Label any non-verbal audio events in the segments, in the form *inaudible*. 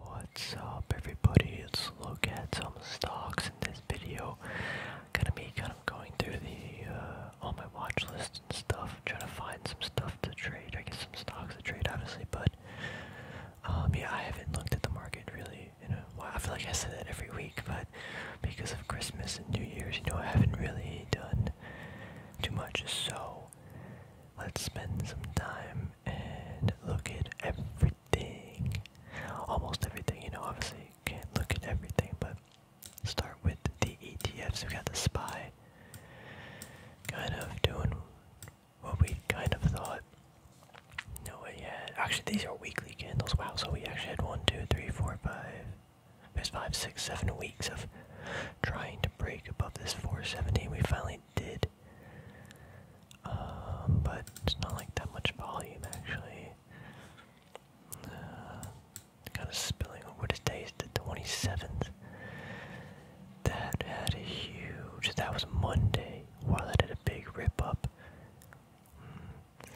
What's up everybody, it's look at some stocks in this video. I'm gonna be kind of going through the all uh, my watch list and stuff, trying to find some stuff to trade. I guess some stocks to trade obviously, but um, yeah, I haven't looked at the market really in a while. I feel like I said that every week, but because of Christmas and New Year's, you know, I haven't really done too much, so let's spend some time and look at everything. Almost everything, you know, obviously you can't look at everything, but start with the ETFs. We got the SPY kind of doing what we kind of thought. No way yet. Actually, these are weekly candles. Wow, so we actually had one, two, three, four, five. There's five, six, seven weeks of trying to break above this 417. We finally did um, but it's not like that much volume actually. Uh, kind of spilling over today's the 27th. That had a huge. That was Monday. Wow, that had a big rip up. Mm.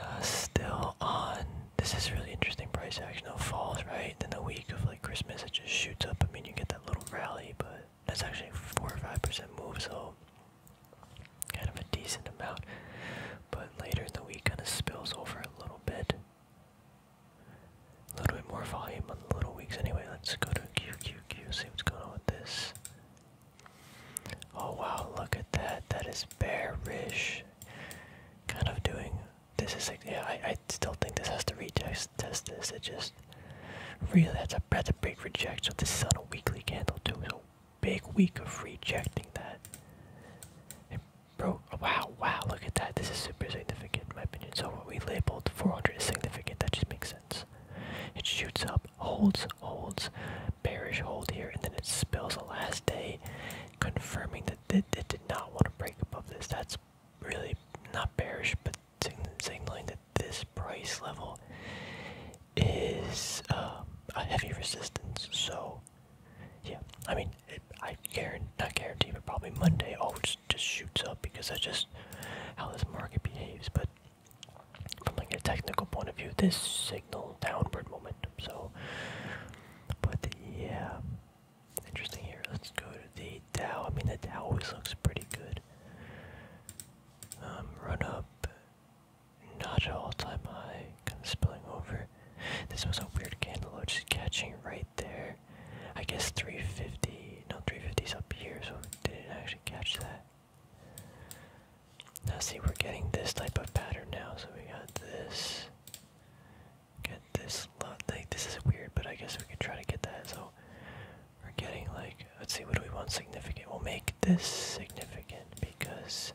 Uh, still on. This is really interesting price action. no falls right. Then the week of like Christmas, it just shoots up. I mean, you get that little rally, but that's actually four or five percent move, so kind of a decent amount. But later in the week, kind of spills over a little bit. A little bit more volume on the little weeks. Anyway, let's go to QQQ. See what's going on with this. Oh wow! Look at that. That is bearish. Kind of doing. This is like yeah. I still think this has to retest test this. It just really that's a that's a big rejection. So this is on a weekly candle too, big week of rejecting that. And bro, wow, wow, look at that. This is super significant in my opinion. So what we labeled 400 is significant. That just makes sense. It shoots up, holds, holds, bearish hold here, and then it spills the last day, confirming that it, it did not want to break above this. That's really not bearish, but signaling that this price level is um, a heavy resistance. So, yeah, I mean, I guarantee, not guarantee, but probably Monday, oh, it just shoots up because that's just how this market behaves. But from like a technical point of view, this signal downward momentum. So, but yeah, interesting here. Let's go to the Dow. I mean, the Dow always looks pretty good. Um, run up, not at all-time high, kind of spilling over. This was a weird candle, just catching right there. I guess 350, no, 350's up here, so it did it actually catch that. Now see, we're getting this type of pattern now, so we got this. Get this Like, this is weird, but I guess we can try to get that. So we're getting like, let's see, what do we want significant? We'll make this significant because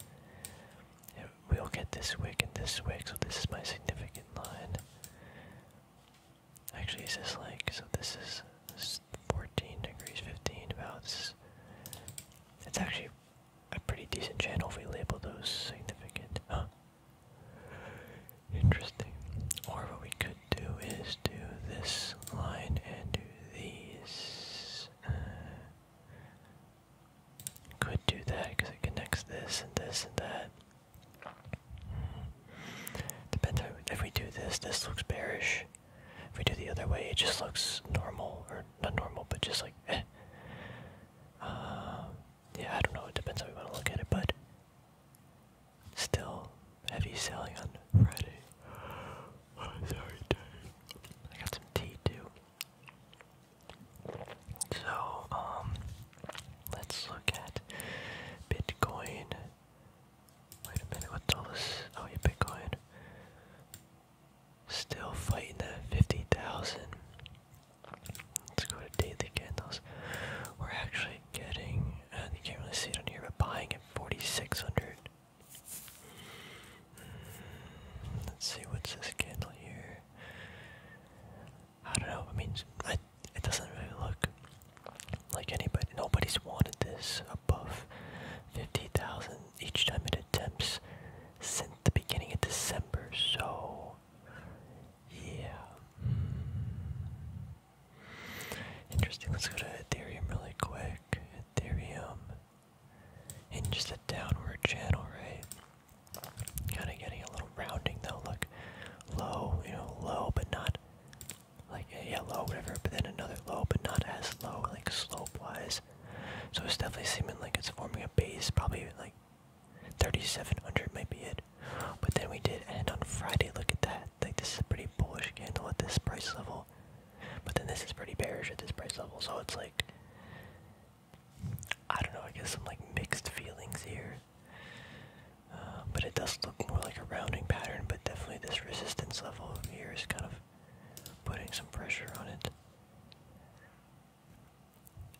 we'll get this wick and this wick, so this is my significant line. Actually, is this like, so this is, this is 14 degrees, 15 about, this it's actually a pretty decent channel if we label those significant, Interesting. Or what we could do is do this line and do these. Uh, could do that because it connects this and this and that. Mm. Depends if we do this, this looks bearish. If we do the other way, it just looks normal, or not normal, but just like eh. uh, yeah, I don't know. It depends how we want to look at it, but Still heavy selling on Friday. sorry, Dave. I got some tea too. So, um, let's look at Bitcoin. Wait a minute, what's all this? Oh, yeah, Bitcoin. Still fighting that 50,000. Let's go to daily candles. We're actually getting, uh, you can't really see it on here, but buying at 4600 hmm, Let's see, what's this candle here? I don't know, I mean, I, it doesn't really look like anybody, nobody's wanted this above 50,000 each time it attempts since the beginning of December, so yeah. Hmm. Interesting. Let's go to Ethereum really quick. Ethereum. And just a downward channel, right? Kind of getting a little rounding though. Look, low, you know, low, but not like yeah, low, whatever. But then another low, but not as low, like slope-wise. So it's definitely seeming like it's forming a base. Probably like 3,700 might be it. But then we did end on Friday. Look at that. Like this is a pretty bullish candle at this price level. But then this is pretty bearish at this price level. So it's like I don't know. I guess I'm like mixed feelings here. Uh, but it does look more like a rounding pattern. But definitely this resistance level here is kind of putting some pressure on it.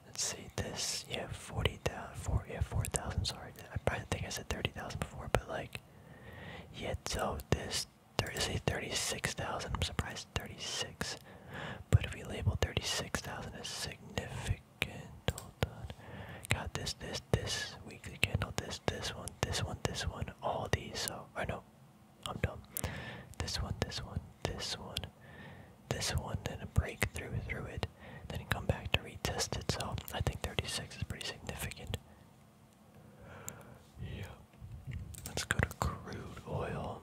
Let's see this. Yeah, forty thousand. Four. Yeah, four thousand. Sorry. I probably think I said thirty thousand before, but like, yeah. So this thirty say thirty-six thousand. I'm surprised thirty-six. But if we label thirty-six thousand as significant, Got this, this, this weekly candle. This, this one, this one, this one. All these. So I know. I'm dumb. This one, this one, this one, this one, then a breakthrough through it, then come back to retest it. So I think 36 is pretty significant. Yeah. Let's go to crude oil.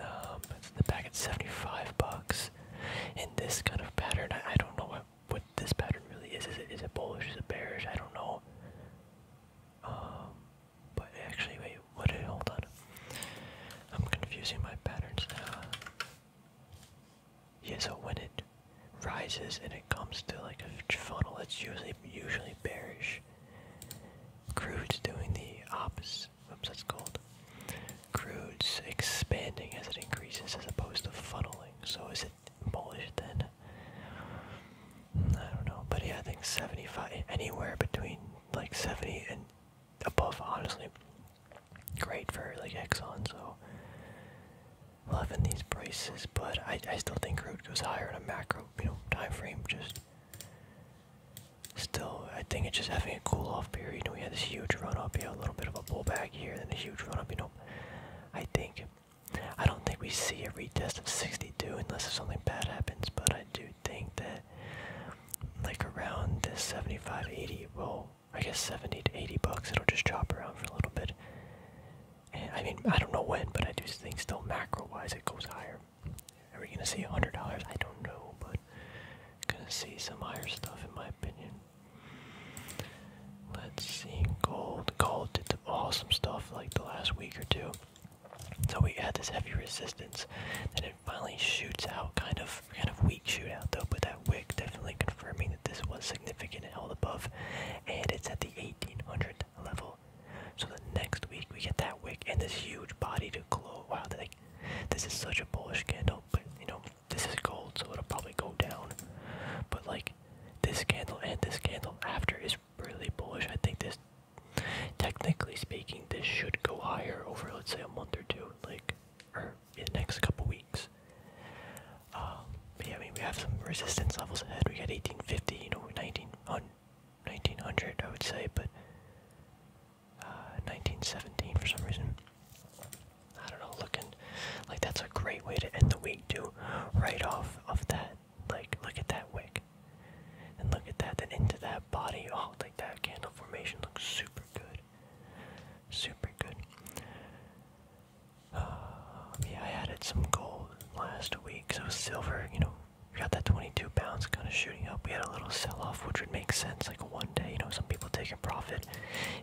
Um, it's in at 75 bucks. In this kind of pattern, I, don't know what what this pattern really is. Is it bullish? Is it bearish? I don't know. Um, but actually, wait. What Hold on. I'm confusing my patterns now. Yeah, so when it rises and it comes to like a funnel, it's usually usually bearish. Crude's doing the opposite. Oops, that's gold. Crude's expanding as it increases as opposed to funneling. So is it bullish then? I don't know, but yeah, I think 75, anywhere between like 70 and above, honestly, great for like Exxon, so loving these prices, but I I still think crude goes higher in a macro, you know, time frame just still I think it's just having a cool off period. You we had this huge run up, we had a little bit of a pull back here, then a huge run up, you know. I think I don't think we see a retest of 62 unless something bad happens, but I do think that like around this 75 80 will I guess 70 to 80 bucks. It'll just chop around for a little bit. I mean, I don't know when, but I do think still macro wise it goes higher. Are we gonna see $100? I don't know, but gonna see some higher stuff in my opinion. Let's see, gold. Gold did the awesome stuff like the last week or two. So we had this heavy resistance, and it finally shoots out, kind of, kind of weak shootout though. But that wick definitely confirming that this was significant and held above, and it's at the 1800 level. So the next week we get that wick and this huge body to glow. Wow, this is such a bullish candle, but you know this is gold, so it'll probably go down. But like this candle and this candle after is really bullish. I think this, technically speaking, this should go higher over let's say a month or two, like in the next couple weeks. Um, yeah, I mean, we have some resistance levels ahead. We got 1850, you know, 19, 1900, I would say, but 1917 uh, for some reason. I don't know, looking like that's a great way to end the week, too. Right off of that, like, look at that wick. And look at that, then into that body. Oh, like that candle formation looks super good. Super good. Uh, yeah, I added some gold last week, so silver, you know, we got that 22 pounds kind of shooting up. We had a little sell-off, which would make sense, like one day, you know, some people take a profit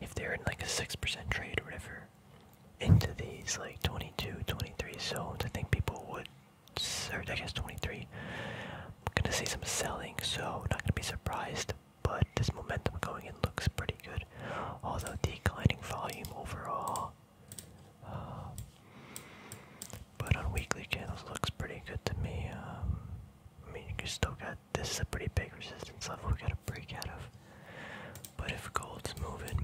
if they're in like a 6% trade or whatever into these like 22, 23 zones. I think people would, or I guess 23, I'm gonna see some selling, so not gonna be surprised but this momentum going in looks pretty good. Although declining volume overall. Uh, but on weekly candles looks pretty good to me. Um, I mean, you still got this is a pretty big resistance level we got to break out of. But if gold's moving,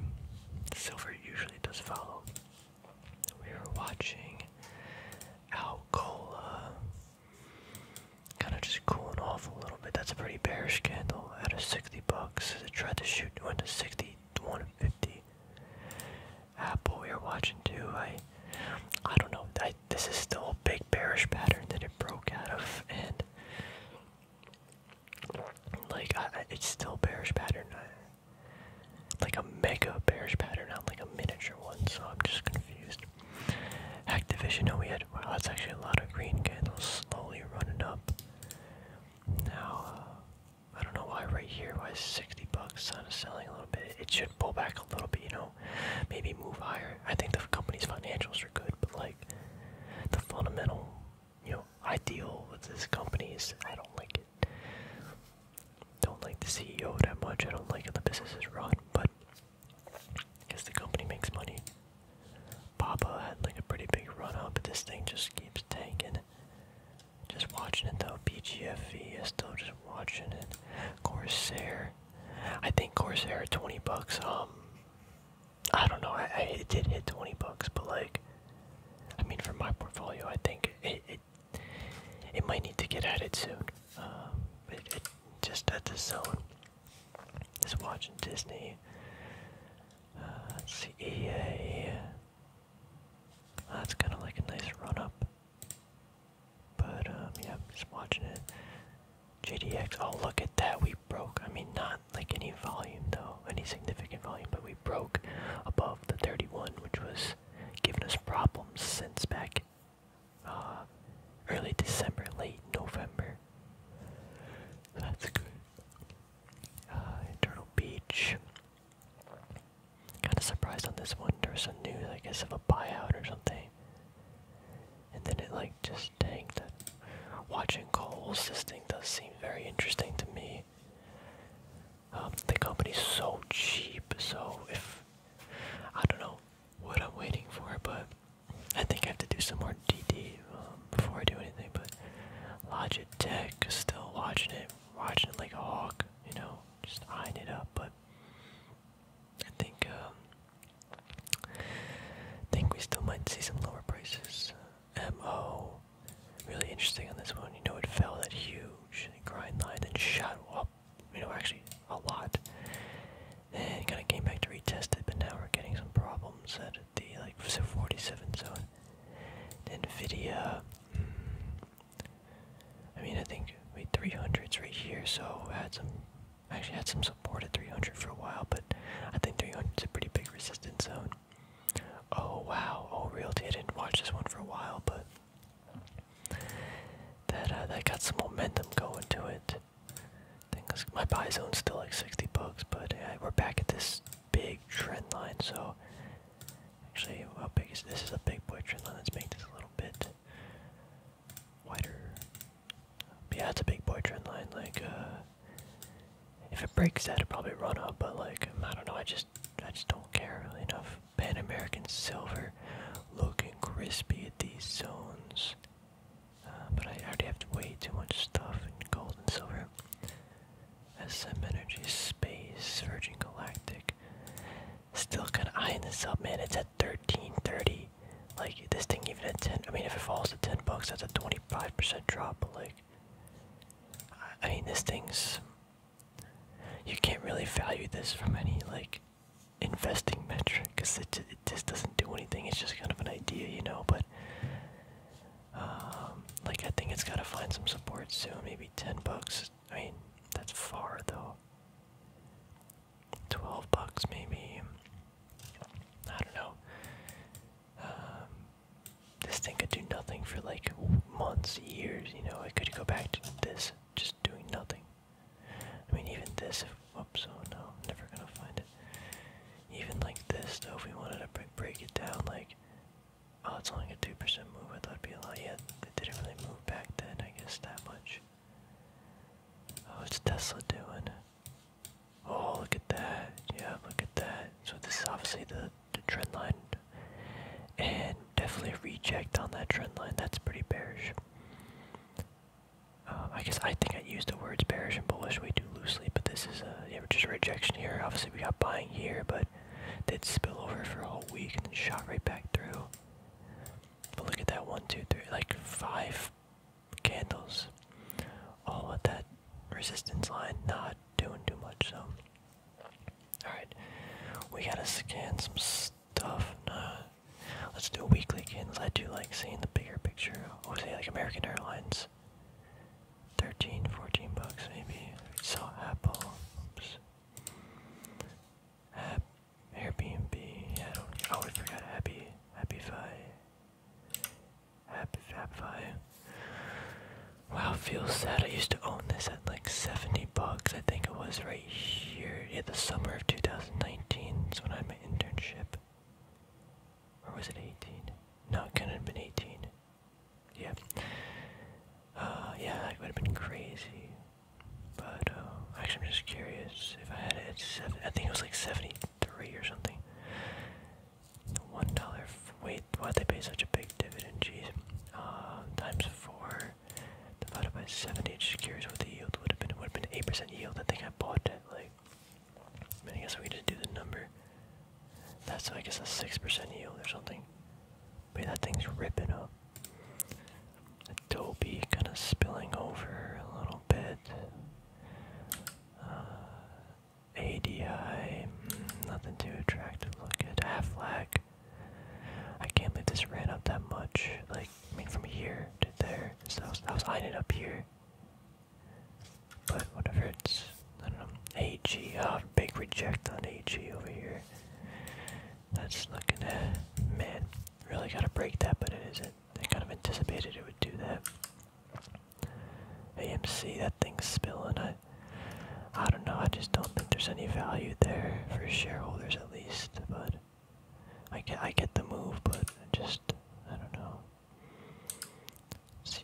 silver usually does follow. We are watching Alcola kind of just cooling off a little bit. That's a pretty bearish candle at of 60 bucks. It tried to shoot, went to 60 to 150. Apple, we are watching too. I, I don't know. I, this is still a big bearish pattern that it broke out of, and like I, I, it's still bearish pattern. I, like a mega bearish pattern, not like a miniature one. So I'm just confused. Activision, oh, we had good. Wow, that's actually a lot of green candles slowly running up. Now, uh, I don't know why right here, why is 60 bucks kind of selling a little bit. It should pull back a little bit, you know, maybe move higher. I think the company's financials are good, but like the fundamental, you know, ideal with this company is I don't like it. Don't like the CEO that much. I don't like how the business is run, but because the company makes money. Papa had like a pretty big run up, but this thing just keeps tanking. Just watching it though. BGFV is still just watching it. Corsair. I think Corsair 20 bucks. Um, I don't know. I, it did hit 20 bucks, but like, I mean, for my portfolio, I think it it, it might need to get added soon. Um, it, just at the zone. Just watching Disney. Uh, That's uh, kind of like a nice run up. But, um, yeah, just watching it. JDX, oh, look at that, we broke. I mean, not like any volume, though, any significant volume, but we broke above the 31, which was giving us problems since back uh, early December, late November. That's good. Uh, Beach. Kind of surprised on this one. There was some news, I guess, of a buyout or something. And then it like just tanked. Watching Cole's, this thing does seem very interesting to me. Um, the company's so cheap, so if I don't know what I'm waiting for, but I think I have to do some more DD um, before I do anything, but Logitech, still watching it, watching it like a hawk, you know, just eyeing it up, but I think, um, think we still might see some lower prices. MO, really interesting on this one, you know, it fell that huge grind line and shot up, you know, actually a lot. And *sighs* kind of came back to retest it, but now we're getting some problems at the like 47 zone. NVIDIA, hmm. I mean, I think we 300s right here, so I had some, actually had some support at 300 for a while, but I think three hundred is a pretty big resistance zone. Oh wow, oh realty, I didn't watch this one for a while, but that uh, that got some momentum going to it things. My buy zone's still like 60 bucks, but we're back at this big trend line. So actually, how big is this? Is a big boy trend line. Let's make this a little bit wider. yeah, it's a big boy trend line. Like, uh, if it breaks that, it'll probably run up. But like, I don't know. I just, I just don't care enough. Pan American silver, looking crispy at these zones. Uh, but I already have way too much stuff in gold and silver. SM Energy Space, Virgin Galactic. Still kinda eyeing this up, man. It's at 13.30. Like, this thing even at 10, I mean, if it falls to 10 bucks, that's a 25% drop, but like, I, mean, this thing's, you can't really value this from any, like, investing metric, because it, it just doesn't do anything. It's just kind of an idea, you know. But um, like I think it's got to find some support soon. Maybe ten bucks. I mean, that's far though. Twelve bucks maybe. I don't know. Um, this thing could do nothing for like months, years. You know, it could go back to this, just doing nothing. I mean, even this, Whoops, oh no, never gonna find it. Even like this though, if we wanted to break, break it down, like, oh, it's only a 2% move, I thought it'd be a lot. Yeah, they didn't really move back then, I guess, that much. Oh, it's Tesla doing. Oh, look at that. Yeah, look at that. So this is obviously the, the trend line. And definitely reject on that trend line. That's pretty bearish. Uh, I guess I think I used the words bearish and bullish way too loosely, but this is a just rejection here. Obviously, we got buying here, but did spill over for a whole week and then shot right back through. But look at that one, two, three, like five candles, all at that resistance line, not doing too much. So, all right, we gotta scan some stuff. let's do weekly candles. I do like seeing the bigger picture. Obviously, like American Airlines 13, 14 bucks maybe. So Apple. Oops. App, Airbnb. I don't. Oh, I forgot Happy. Happify. Happy Fabify. Wow, feels sad. I used to own this at like 70 bucks. I think it was right here. in the summer of 2019 is when I had my internship or was it 18? No, it couldn't have been 18. Yeah. Uh, yeah, that would have been crazy. But, uh, actually, I'm just curious if I had it at seven. I think it was like 73 or something. One dollar. Wait, why'd they pay such a big dividend? Jeez. Uh, times four divided by 70. curious what the yield would have been. It would have been 8% yield. I think I bought it like but I guess we just do the number. That's I guess a six percent yield or something. But that thing's ripping up. Adobe kind of spilling over a little bit. Uh, ADI, mm, nothing too attractive Look looking. Aflac. I can't believe this ran up that much. Like, I mean, from here to there. So I was, that was eyeing it up here. But whatever it's I don't know. AG, oh big reject on AG over here. That's not gonna man, really gotta break that, but it isn't. I kind of anticipated it would do that. AMC, that thing's spilling. I I don't know, I just don't think there's any value there for shareholders at least, but I get I get the move, but I just I don't know.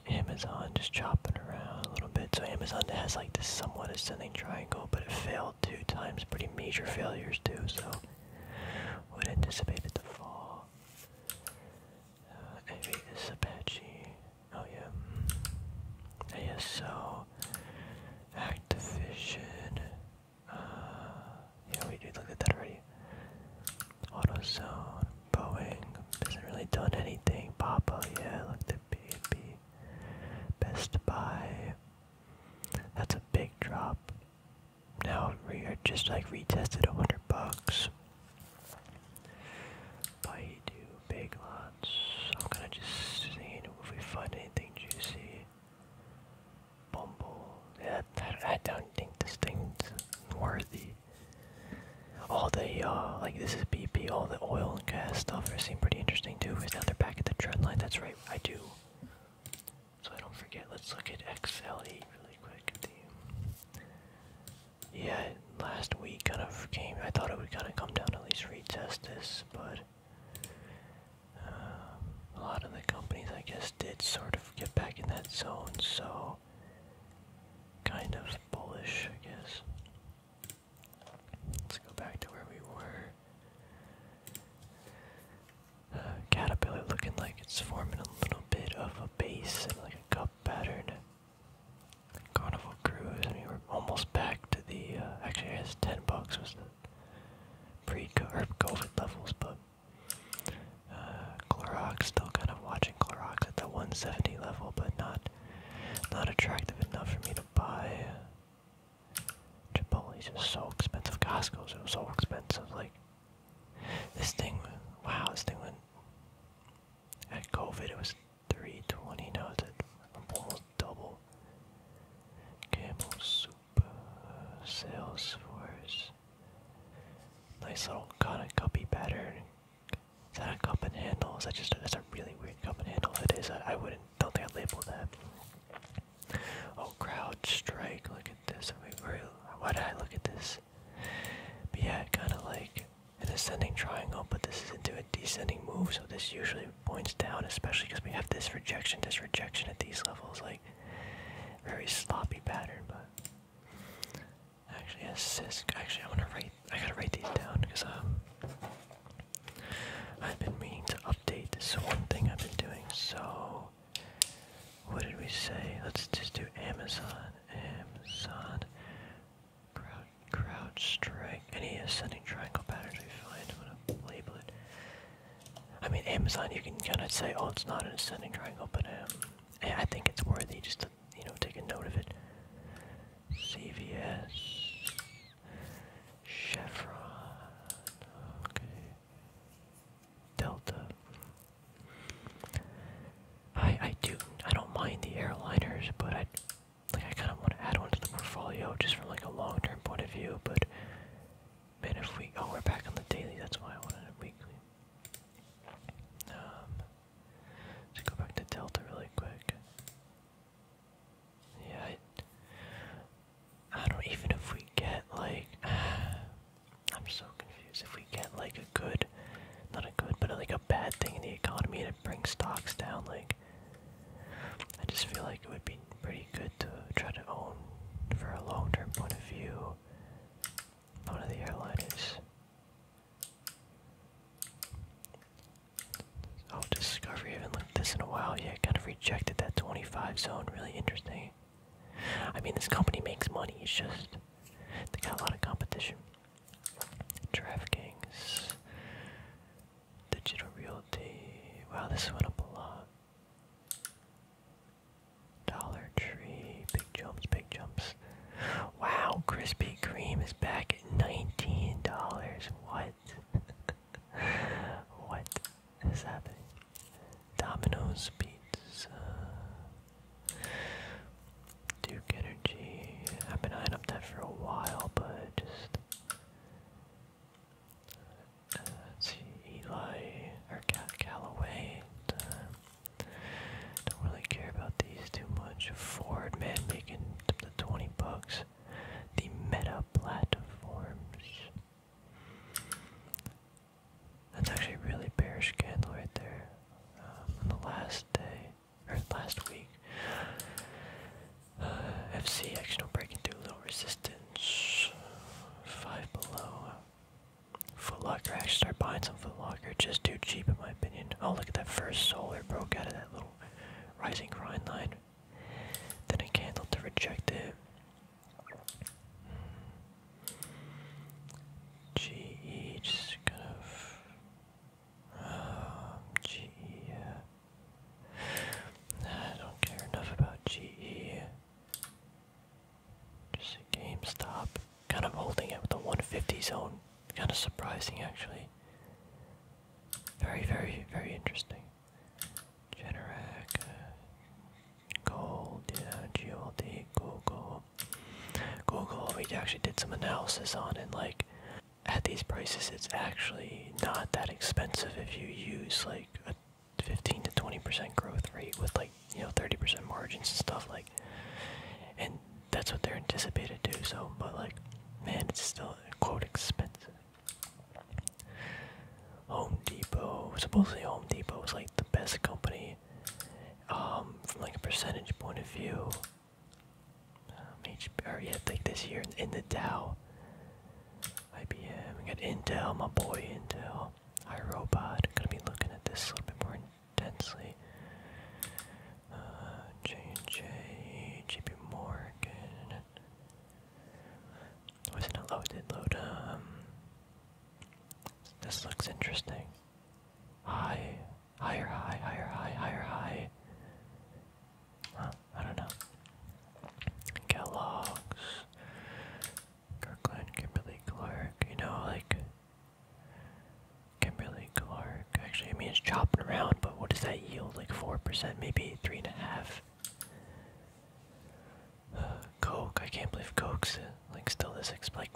Amazon just chopping around a little bit. So Amazon has like this somewhat ascending triangle, but it failed two times, pretty major failures too. So would anticipate it fall. maybe uh, this Apache. Oh yeah. Mm. ASO. Activision. Uh, yeah, we did look at that already. AutoZone, Boeing, hasn't really done anything. Papa, yeah, look at baby. Best Buy. That's a big drop. Now we are just like retested hundred bucks. Baidu, big lots. I'm gonna just see if we find anything juicy. Bumble. Yeah, I don't think this thing's worthy. All the uh, like this is BP. All the oil and gas stuff seem pretty interesting too. Is that they're back at the trend line. That's right, I do. So I don't forget. Let's look at XLE really quick. yeah, last week kind of came. I thought it would kind of come down at least retest this, but uh, a lot of the companies I guess did sort of get back in that zone. So kind of bullish, I guess. Let's go back to where we were. Uh, caterpillar looking like it's forming a little bit of a base and like a cup pattern. Carnival Cruise, we were almost back to the, uh, actually I guess 10 bucks was the pre-COVID levels, but uh, Clorox, still kind of watching Clorox at the 170 level, but not not attractive enough for me to buy. Chipotle's just so expensive. Costco's are so expensive. Like this thing, wow, this thing went at COVID. It was 320. Now it's at almost double. Campbell's soup uh, sales force. Nice little cotton cuppy pattern. that a cup and handle? Is that just that's a really weird cup and handle? If it is, I, wouldn't don't think I'd that. Oh, crowd strike! Look at this. I mean, where, why did I look at this? But yeah, kind of like an ascending triangle, but this is into a descending move, so this usually points down, especially because we have this rejection, this rejection at these levels, like very sloppy pattern. But Actually, a Actually, I wanna write. I gotta write these down because um, I've been meaning to update this so one thing I've been doing. So, what did we say? Let's just do Amazon. Amazon. Crowd, crowd strike. Any ascending triangle patterns we find, I'm gonna label it. I mean, Amazon. You can kind of say, oh, it's not an ascending triangle, but um, I think it's worthy just you know take a note of it. CVS, Chevron, Delta. I I do I don't mind the airliners, but I like I kind of want to add one to the portfolio just from like a long term point of view. But man, if we oh we're back on the daily, that's why I wanted it weekly. Um, just go back to Delta really quick. Yeah, I, don't even if we get like. *sighs* I'm so confused. If we get like a good, not a good, but like a bad thing in the economy to bring stocks down, like I just feel like it would be pretty good to try to own for a long-term point of view. One of the airliners. Oh, Discovery, haven't looked this in a while. Yeah, kind of rejected that 25 zone. Really interesting. I mean, this company makes money. It's just they got a lot of competition. DraftKings, Digital Realty. Wow, this went up a lot. Dollar Tree, big jumps, big jumps. Wow, Krispy Kreme is back at $19. What? *laughs* what is happening? Domino's Pizza. Duke Energy. I've been eyeing up that for a while, but just. Uh, Eli, or Cal don't really care about these too much. Ford, man, making the 20 bucks. The meta platforms. That's actually really bearish candle right there. Um, on the last day, or last week, uh, FC actually don't breaking through a little resistance. Five below. Footlocker, I should start buying some Footlocker. Just too cheap, in my opinion. Oh, look at that first solar broke out of that little rising grind line. Then a candle to reject it. GE, just kind of. GE. I don't care enough about GE. Just a GameStop. Kind of holding it with the 150 zone. Kind of surprising, actually. Very, very, very interesting. Generac, uh, Gold, GLD, Google. Google, we actually did some analysis on and Like, at these prices, it's actually not that expensive if you use like a 15 to 20% growth rate with like you know 30% margins and stuff like and that's what they're anticipated to so but like man it's still quote expensive home depot supposedly home depot is like the best company um from like a percentage point of view um, hb or yeah like this year in, in the dow ibm we got intel my boy intel iRobot. I'm gonna be looking at this a little bit more Densely, Uh, Morgan. Was oh, it not loaded? Load. Um, this looks interesting. High, higher, high, higher, high, higher, high. Huh, I don't know. Kellogg's, Kirkland, Kimberly Clark. You know, like Kimberly Clark. Actually, I mean, it's chopping around, but what does that yield? Like 4%, maybe 35 *sighs* Coke. I can't believe Coke's uh, like still this Like,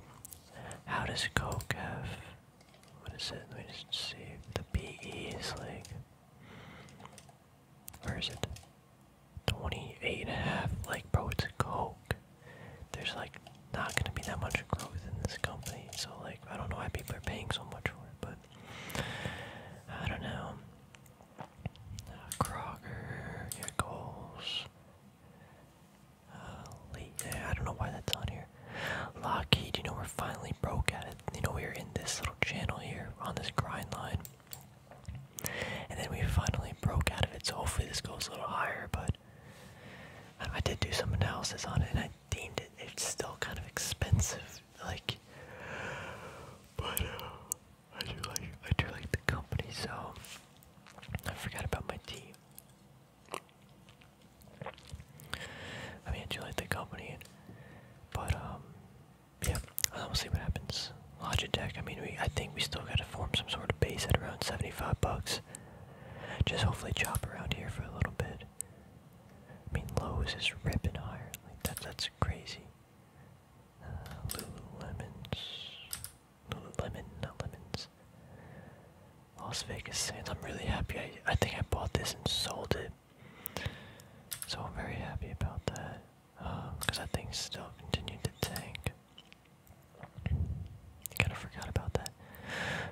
how does Coke have. What is it? Let me just see. if The BE is like. Where is it? Twenty eight and a half. Like, bro, it's Coke there's like not gonna be that much growth in this company. So like I don't know why people are paying so much for it, but I don't know. Uh, Kroger, your goals. Uh, I don't know why that's on here. Lockheed, you know we're finally broke at You know we were in this little channel here on this grind line, and then we finally broke out of it. So hopefully this goes a little higher, but I did do some analysis on it, and I deemed it it's still kind of expensive. Like, but uh, I do like I do like the company. So I forgot about my team. I mean, I do like the company, but um, yeah. Well, we'll see what happens. Logitech. I mean, we I think we still gotta form some sort of base at around seventy-five bucks. Just hopefully chop around here for a little bit. I mean, Lowe's is ripping higher. Like that, that's crazy. Uh, Lululemons. Lululemon, not lemons. Las Vegas Sands. I'm really happy. I, I think I bought this and sold it. So I'm very happy about that. Because um, that thing still continued to tank. Kind of forgot about that.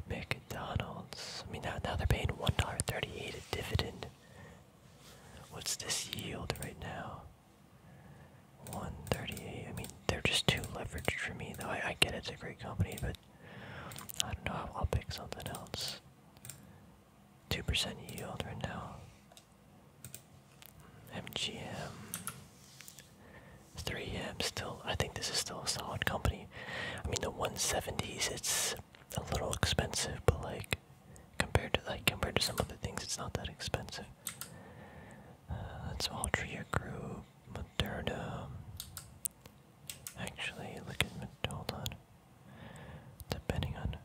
McDonald's. I mean, now, they're paying $1.38 a dividend. What's this yield right now? 138. I mean, they're just too leveraged for me, though. I, get it's a great company, but I don't know. I'll pick something else. 2% yield right now. MGM. 3 m still i think this is still a solid company i mean the 170s it's a little expensive but like compared to like compared to some other things it's not that expensive uh, that's altria group moderna actually look at hold depending on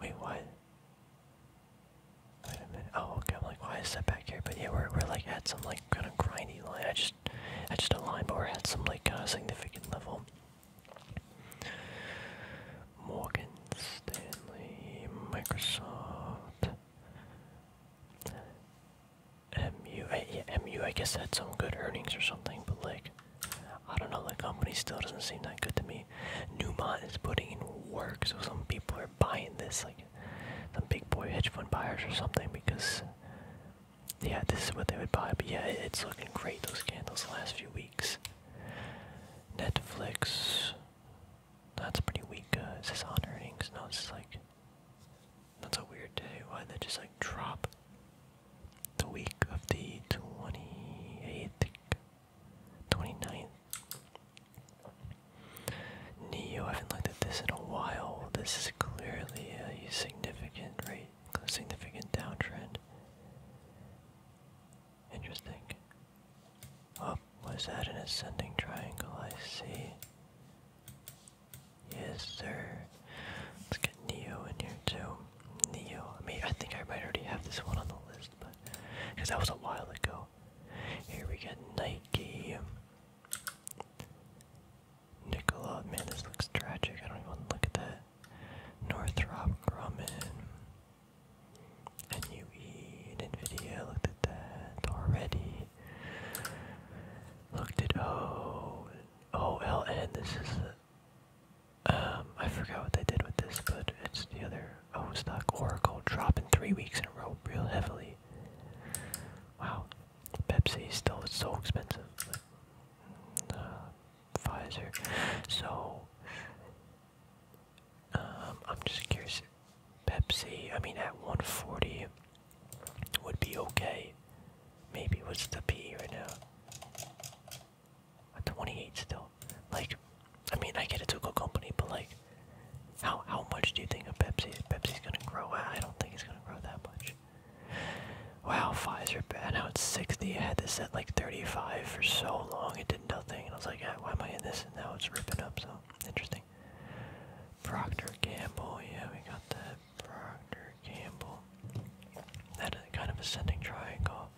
wait what wait a minute oh okay like why is that but yeah, we're we're like at some like kind of grindy line. I just I just a line, but we're at some like uh, significant level. Morgan Stanley, Microsoft, MU. guess had some good earnings or something, but like I don't know. The company still doesn't seem that good to me. Newmont is putting in work, so some people are buying this like some big boy hedge fund buyers or something because yeah, this is what they would buy. But yeah, it's looking great those candles the last few weeks. Netflix, that's pretty weak. Uh, is this on earnings? No, it's like that's a weird day. Why did that just like drop? The week of the twenty eighth, 29th Neo, I haven't looked at this in a while. This is clearly a significant rate, significant downtrend. Interesting. oh, was that an ascending triangle? I see. Yes, sir. Let's get Neo in here too. Neo. I mean, I think I might already have this one on the list, but because that was a while ago. Here we get Nike. Nicola, man, this looks tragic. I don't even want to look at that. Northrop Grumman. NUE and NVIDIA looked at that already. Looked at O OLN. This is a, um I forgot what they did with this, but it's the other O stock Oracle dropping three weeks in a row real heavily. Wow, Pepsi is still it's so expensive. Uh, Pfizer. So um, I'm just curious. Pepsi. I mean, at 140 would be okay. Maybe what's the P right now? 28 still. Like, I mean, I get it's a good company, but like, how how much do you think of Pepsi? Pepsi's gonna grow. I don't think it's gonna grow that much. Wow, Pfizer. I know it's sixty. I had this at like thirty-five for so long. It did nothing, and I was like, why am I in this? And now it's ripping up. So interesting. Procter Gamble. Yeah, we got that. Procter Gamble. That is kind of ascending triangle.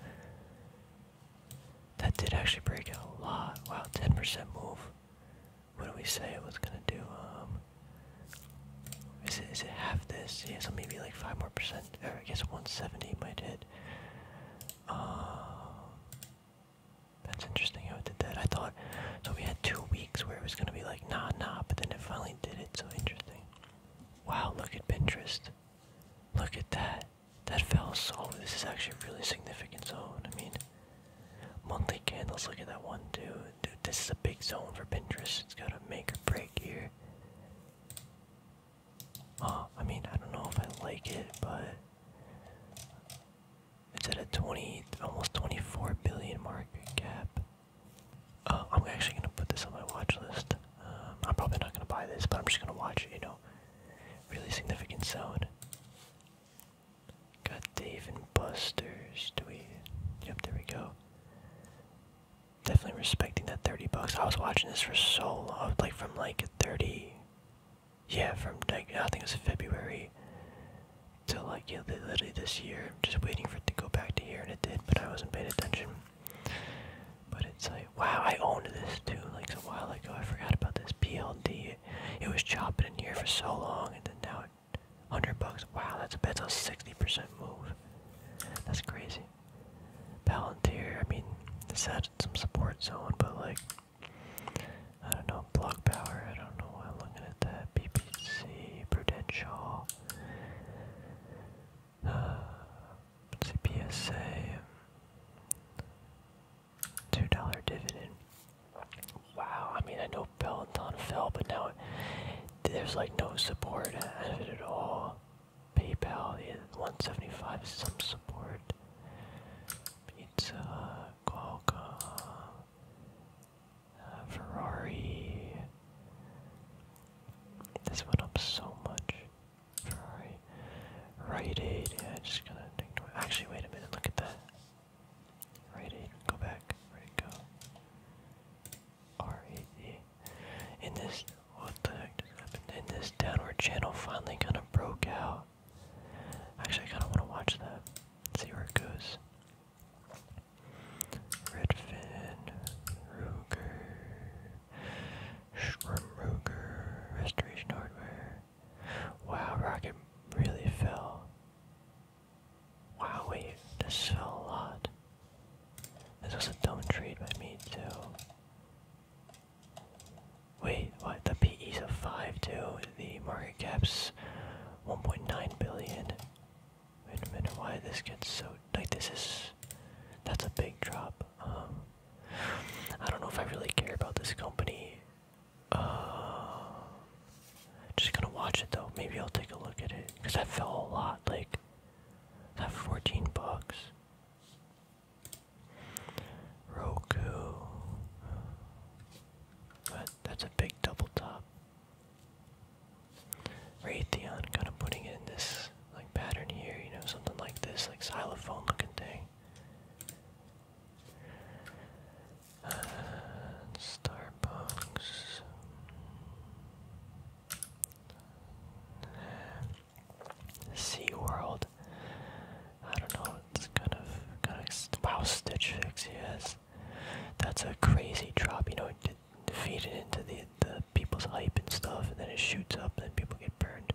That did actually break out a lot. Wow, ten percent move what do we say it was gonna do? Um, is it is it half this? Yeah, so maybe like five more percent. Or I guess 170 might hit. Um, that's interesting how it did that. I thought so. We had two weeks where it was gonna be like nah, nah, but then it finally did it. So interesting. Wow, look at Pinterest. Look at that. That fell so. This is actually really significant zone. I mean, Monthly candles, look at that one dude. Dude, this is a big zone for Pinterest. It's gonna make or break here. Oh, I mean, I don't know if I like it, but it's at a 20, almost 24 billion mark cap. Uh, I'm actually gonna put this on my watch list. Um, I'm probably not gonna buy this, but I'm just gonna watch You know, really significant zone. Got Dave and Buster's. Do we? Yep, there we go. Definitely respecting that 30 bucks. I was watching this for so long, like from like 30. Yeah, from like, I think it was February till like literally this year. Just waiting for it to go back to here, and it did, but I wasn't paying attention. But it's like, wow, I owned this too, like a while ago. I forgot about this PLD. It was chopping in here for so long, and then now it 100 bucks. Wow, that's, a bit of a 60% move. That's crazy. Palantir, I mean, this some support zone, but like, I don't know, block power, I don't know I'm looking at that. BPC, Prudential, uh, CPSA, $2 dividend. Wow, I mean, I know Peloton fell, but now there's like no support at all. PayPal is 175, some support. Pizza, Qualcomm, uh, Ferrari. This went up so much. Ferrari, Rite Aid. Yeah, just gonna. Actually, wait a minute. Look at that. Right go back, right go. R In this what the heck just happened? In this downward channel finally kinda broke out. Actually I kinda wanna watch that. See where it goes. Redfin, Ruger, Shrum Restoration Hardware. Wow, Rocket really fell. Wow, wait, this fell a lot. This was a dumb trade by me, too. Wait, what? The PE's a 5, too. The market cap's 1.9 billion. Wait a minute, why this gets so... tight? this is... That's a big drop. Um, I don't know if I really care about this company uh, just gonna watch it though. Maybe I'll take a look at it because that fell a lot. Like that, fourteen bucks. Roku. But that's a big double top. Raytheon, kind of putting it in this like pattern here. You know, something like this, like xylophone looking thing. And Starbucks. SeaWorld. I don't know, it's kind of, kind of, wow, Stitch Fix, yes. That's a crazy drop, you know, feed it into the, the people's hype and stuff, and then it shoots up, and then people get burned.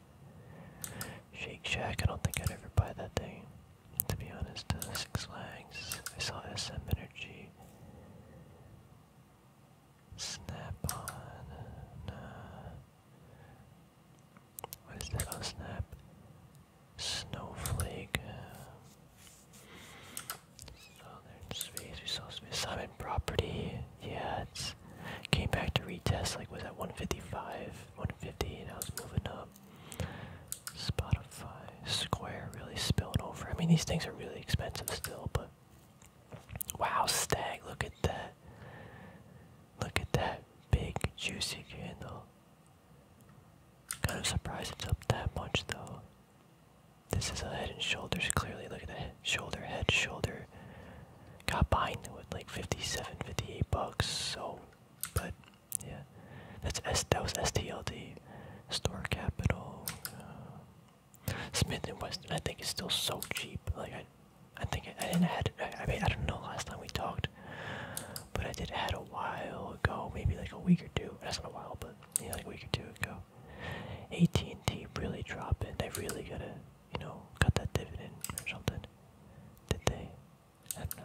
Shake Shack, I don't think I'd ever buy that thing to be honest, uh, Six Flags. I saw SM Energy. Snap on. Uh, what is that? Oh, snap. Snowflake. Uh, Southern Space. We saw space. Simon Property. Yeah, it's. Came back to retest, like, was at 155, 150, and I was moving up. Spotify, Square really spilled over. I mean, these things are really expensive still, but wow, Stag, look at that. Look at that big, juicy candle. Kind of surprised it's up that much though. This is a head and shoulders, clearly. Look at the shoulder, head, shoulder. Got behind with like 57, 58 bucks, so. But yeah, that's S. That was STLD, Store Capital, uh, Smith and Weston. I think it's still so cheap. Like I, I think I, didn't had. I, mean, I don't know last time we talked, but I did had a while ago, maybe like a week or two. That's not a while, but yeah, like a week or two ago. AT and T really dropped dropping. They really gotta, you know, cut that dividend or something. Did they? I don't know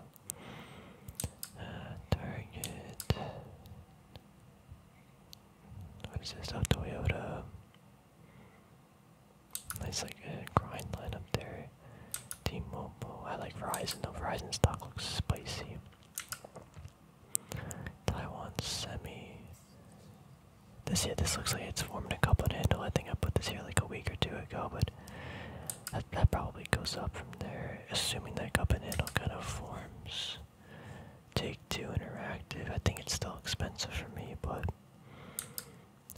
target. What is this? Oh, Toyota. Nice, like uh, grind line up there. T-Mobile. I like Verizon. though. Verizon stock looks spicy. Taiwan Semi. This here, this looks like it's forming a couple of handle. I think I put this here like a week or two ago, but that, probably goes up from there, assuming that cup and handle kind of forms. Take two interactive. I think it's still expensive for me, but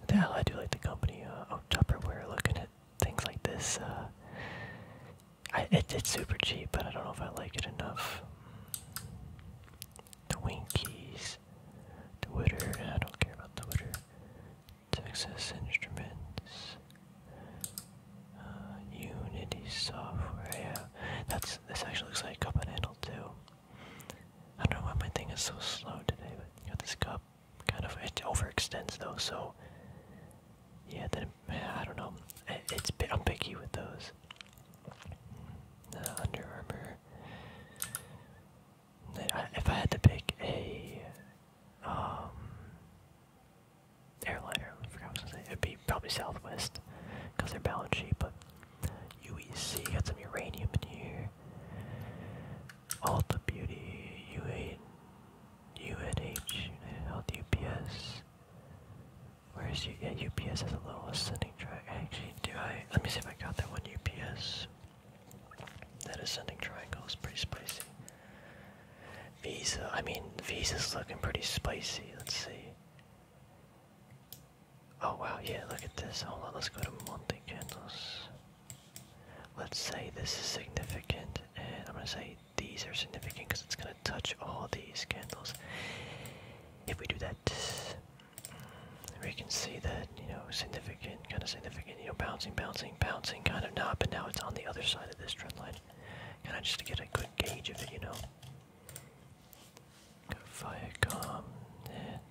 hell I do like the company. Uh, oh, Tupperware. Looking at things like this, uh, it, it's super cheap, but I don't know if I like it enough. The Winkies, Twitter. I don't care about Twitter. Texas Instruments. Uh, Unity software, yeah. That's this actually looks like a cup and handle too. I don't know why my thing is so slow today, but you know this cup kind of it overextends though, so yeah. Then I don't know. it's I'm picky with those. Uh, Under Armour. if I had to pick a um airliner. I forgot what I was gonna say. It'd be probably Southwest, cause they're balance sheet. But UEC got some uranium in here. Alta Beauty, UA, UNH, United Health, UPS. Where's you? Yeah, UPS has a little ascending triangle. Actually, do I? Let me see if I got that one UPS. That ascending triangle is pretty spicy. Visa. I mean, Visa's looking pretty spicy. Let's see. Oh wow, yeah, look at this. Hold on, let's go to monthly Candles. Let's say this is significant, and I'm gonna say these are significant because it's gonna touch all these candles. If we do that, we can see that, you know, significant, kind of significant, you know, bouncing, bouncing, bouncing, kind of not, but now it's on the other side of this trend line kind of just to get a good gauge of it, you know. Viacom,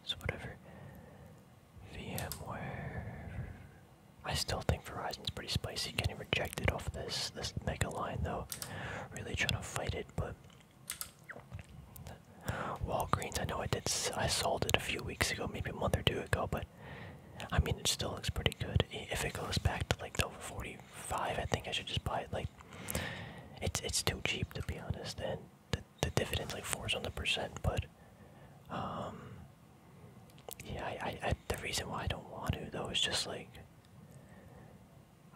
it's whatever. VMware. I still think Verizon's pretty spicy. Getting rejected off this this mega line though. Really trying to fight it, but Walgreens. I know I did. I sold it a few weeks ago, maybe a month or two ago, but I mean, it still looks pretty good. If it goes back to like the 45, I think I should just buy it. Like, it's it's too cheap to be honest, and the the dividends like fours on the percent. But, um, yeah, I I the reason why I don't want to though is just like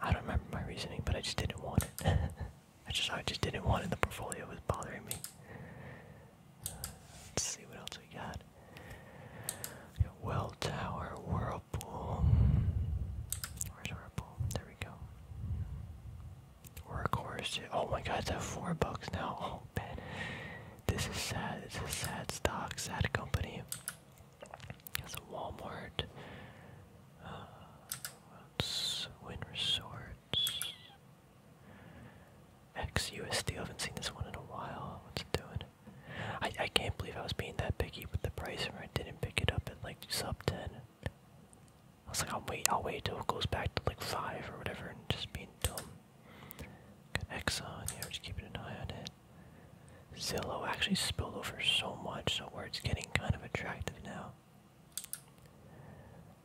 I don't remember my reasoning, but I just didn't want it. *laughs* I just I just didn't want it. The portfolio was bothering me. Let's see what else we got. Well whirlpool. Where's whirlpool? There we go. Workhorse. Oh my god, it's at four bucks now. Oh man. This is sad. It's a sad stock, sad company. It's a Walmart. what's uh, Win Resorts? XUSD. I haven't seen this one in a while. What's it doing? I I can't believe I was being that picky with the price where I didn't pick it up at like sub ten. I was like, I'll wait, I'll wait till it goes back to like five or whatever, and just be dumb. Got Exxon, just keeping an eye on it. Zillow actually spilled over so much, so where it's getting kind of attractive now.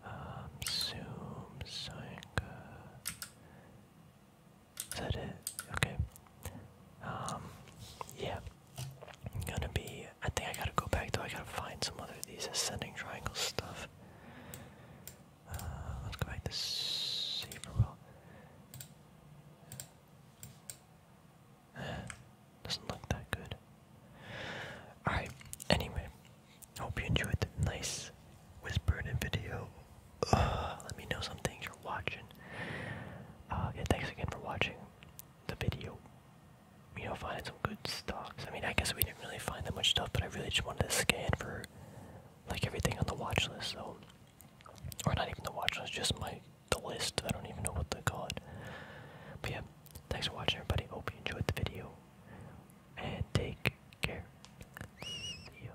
Um, Zoom, Zynga, is that it? Okay. Um, yeah. i gonna be. I think I gotta go back though. I gotta find some other these ascending triangle stuff. Uh, let's go back to Saberwell. *sighs* doesn't look that good. Alright, anyway, hope you enjoyed the nice whispered video *sighs* let me know some things you're watching. Uh, yeah, thanks again for watching the video. You know, finding some good stocks. I mean, I guess we didn't really find that much stuff, but I really just wanted to scan for like everything on the watch list. So, or not even the watch list, just my the list. I don't even know what to call it. But yeah, thanks for watching, everybody. Hope you enjoyed the video, and take care. See ya.